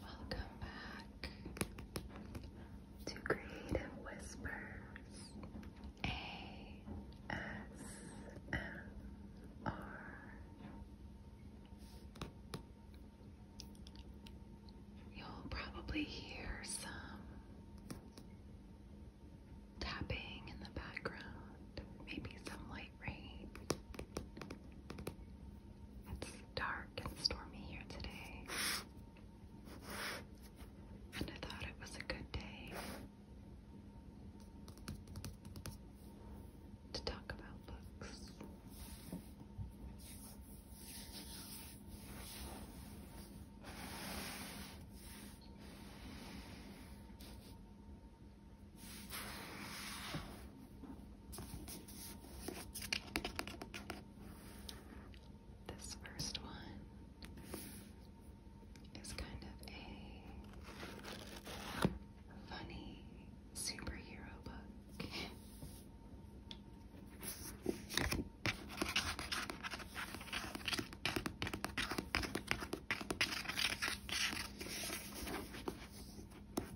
Welcome back to Creative Whispers ASMR. You'll probably hear some tapping in the background, maybe some light rain. It's dark and stormy here today. And I thought it was a good day to talk about books. This first one is kind of a funny superhero book.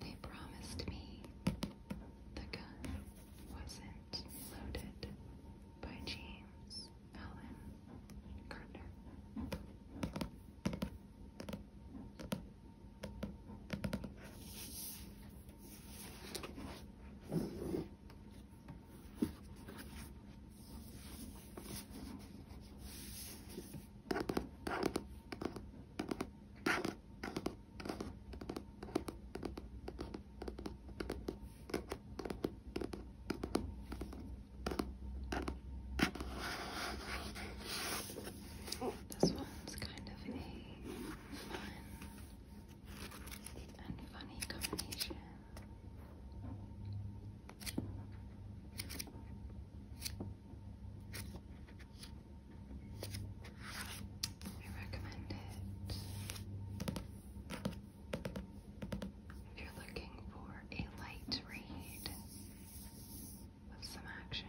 They promised me the gun wasn't loaded by James Allen Gardner. Oh, this one's kind of a and funny combination. I recommend it if you're looking for a light read with some action.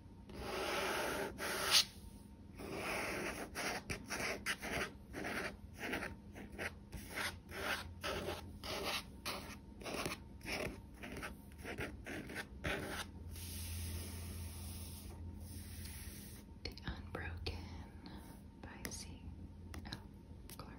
The Unbroken by C. L. Clark.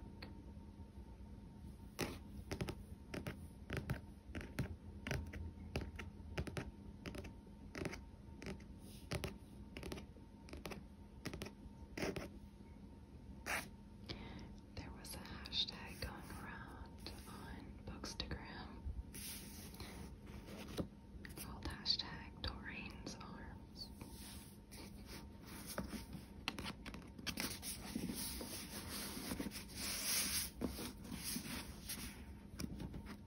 There was a hashtag going around on Bookstagram called hashtag Doreen's Arms.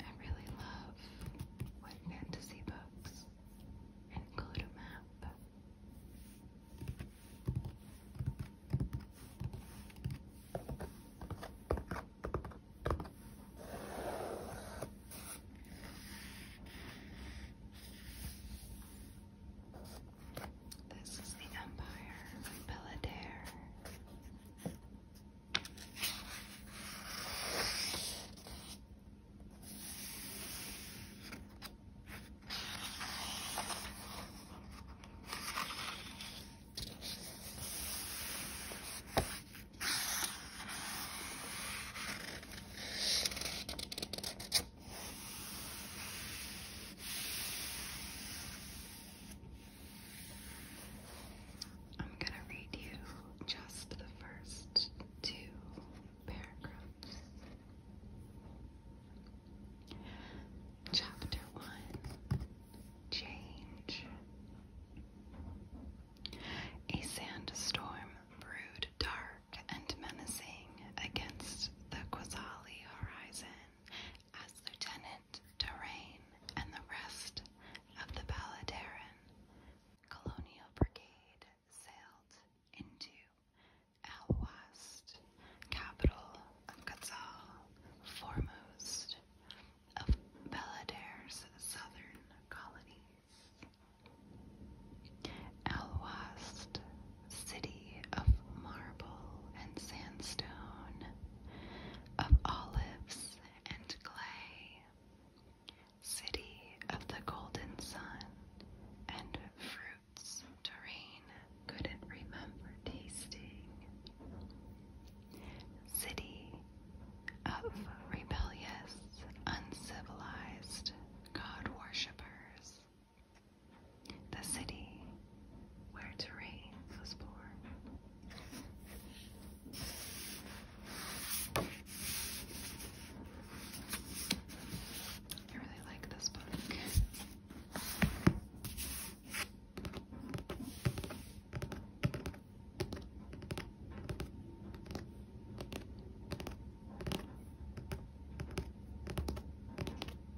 I really love what fantasy books include a map. This is the Empire by Belladaire. I'm going to read you just the first two paragraphs. Chapter 1 Change. A sandstorm brewed dark and menacing against the Quasali horizon as Lieutenant Durain and the rest of the Baladeran Colonial Brigade sailed into Alwast, capital of Quetzal, foremost of Baladere's southern colonies. Alwast city of marble and sandstone, of olives and clay, city of the golden sun and fruits Doreen couldn't remember tasting, city of rebellious, uncivilized God worshippers the city where Terrain was born. I really like this book.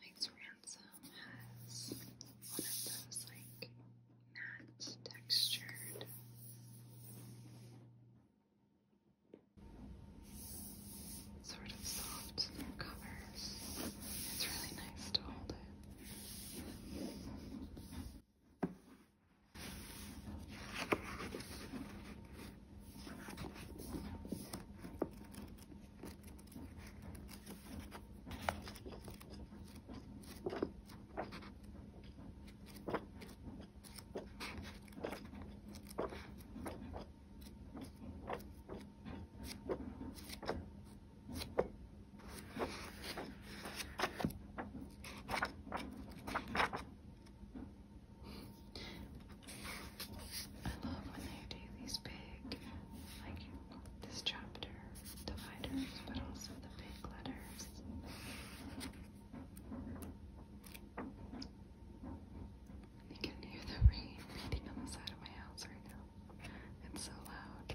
Max Ransom has one of those like matte textured sort of soft covers. It's really nice to hold it. I love when they do these big, like this chapter dividers, but also the big letters. You can hear the rain beating on the side of my house right now. It's so loud.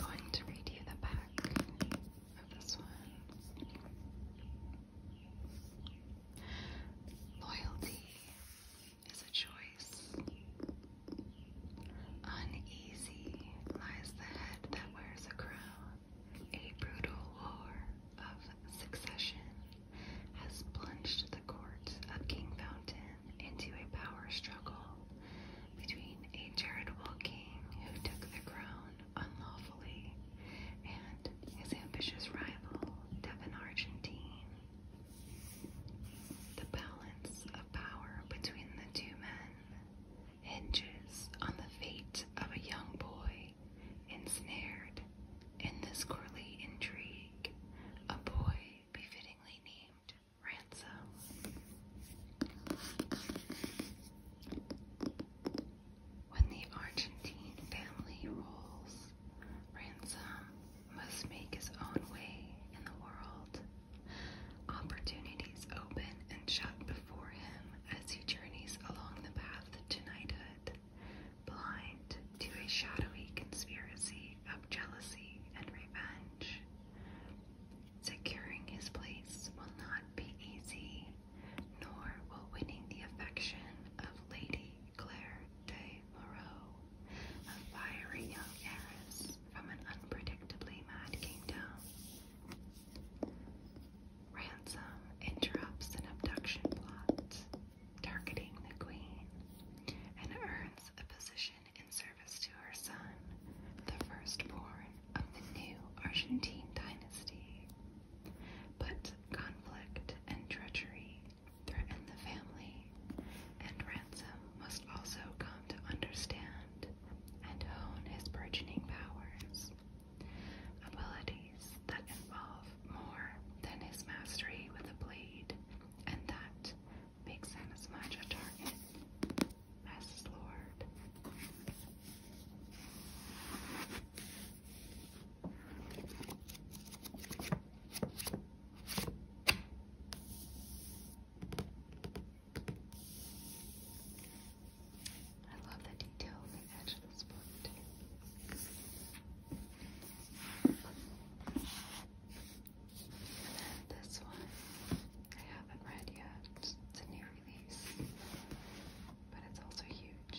I'm going to read you the back of this one. Loyalty is a choice. Uneasy lies the head that wears a crown. A brutal war of succession has plunged the court of King Fountain into a power struggle between a charitable king who took the crown unlawfully and his ambitious rival, Devon Argentine. The balance of power between the two men hinges on the fate of a young boy ensnared in this courtly intrigue, a boy befittingly named Ransom. When the Argentine family rolls, Ransom must make his own way in the world. Opportunities open and shut before him as he journeys along the path to knighthood, blind to a shadowy conspiracy of jealousy and revenge. Securing his place will not be easy, nor will winning the affection of Lady Claire de Moreau a fiery young heiress from an unpredictably mad kingdom. Ransom interrupts an abduction plot targeting the queen and earns a position in service to her son, the firstborn of the new Argentine dynasty. But conflict and treachery threaten the family, and Ransom must also come to understand and hone his burgeoning powers, abilities that involve more than his mastery with a blade, and that makes him as much a target as his lord. I love the detail on book And then this one, I haven't read yet. It's a new release, but it's also huge.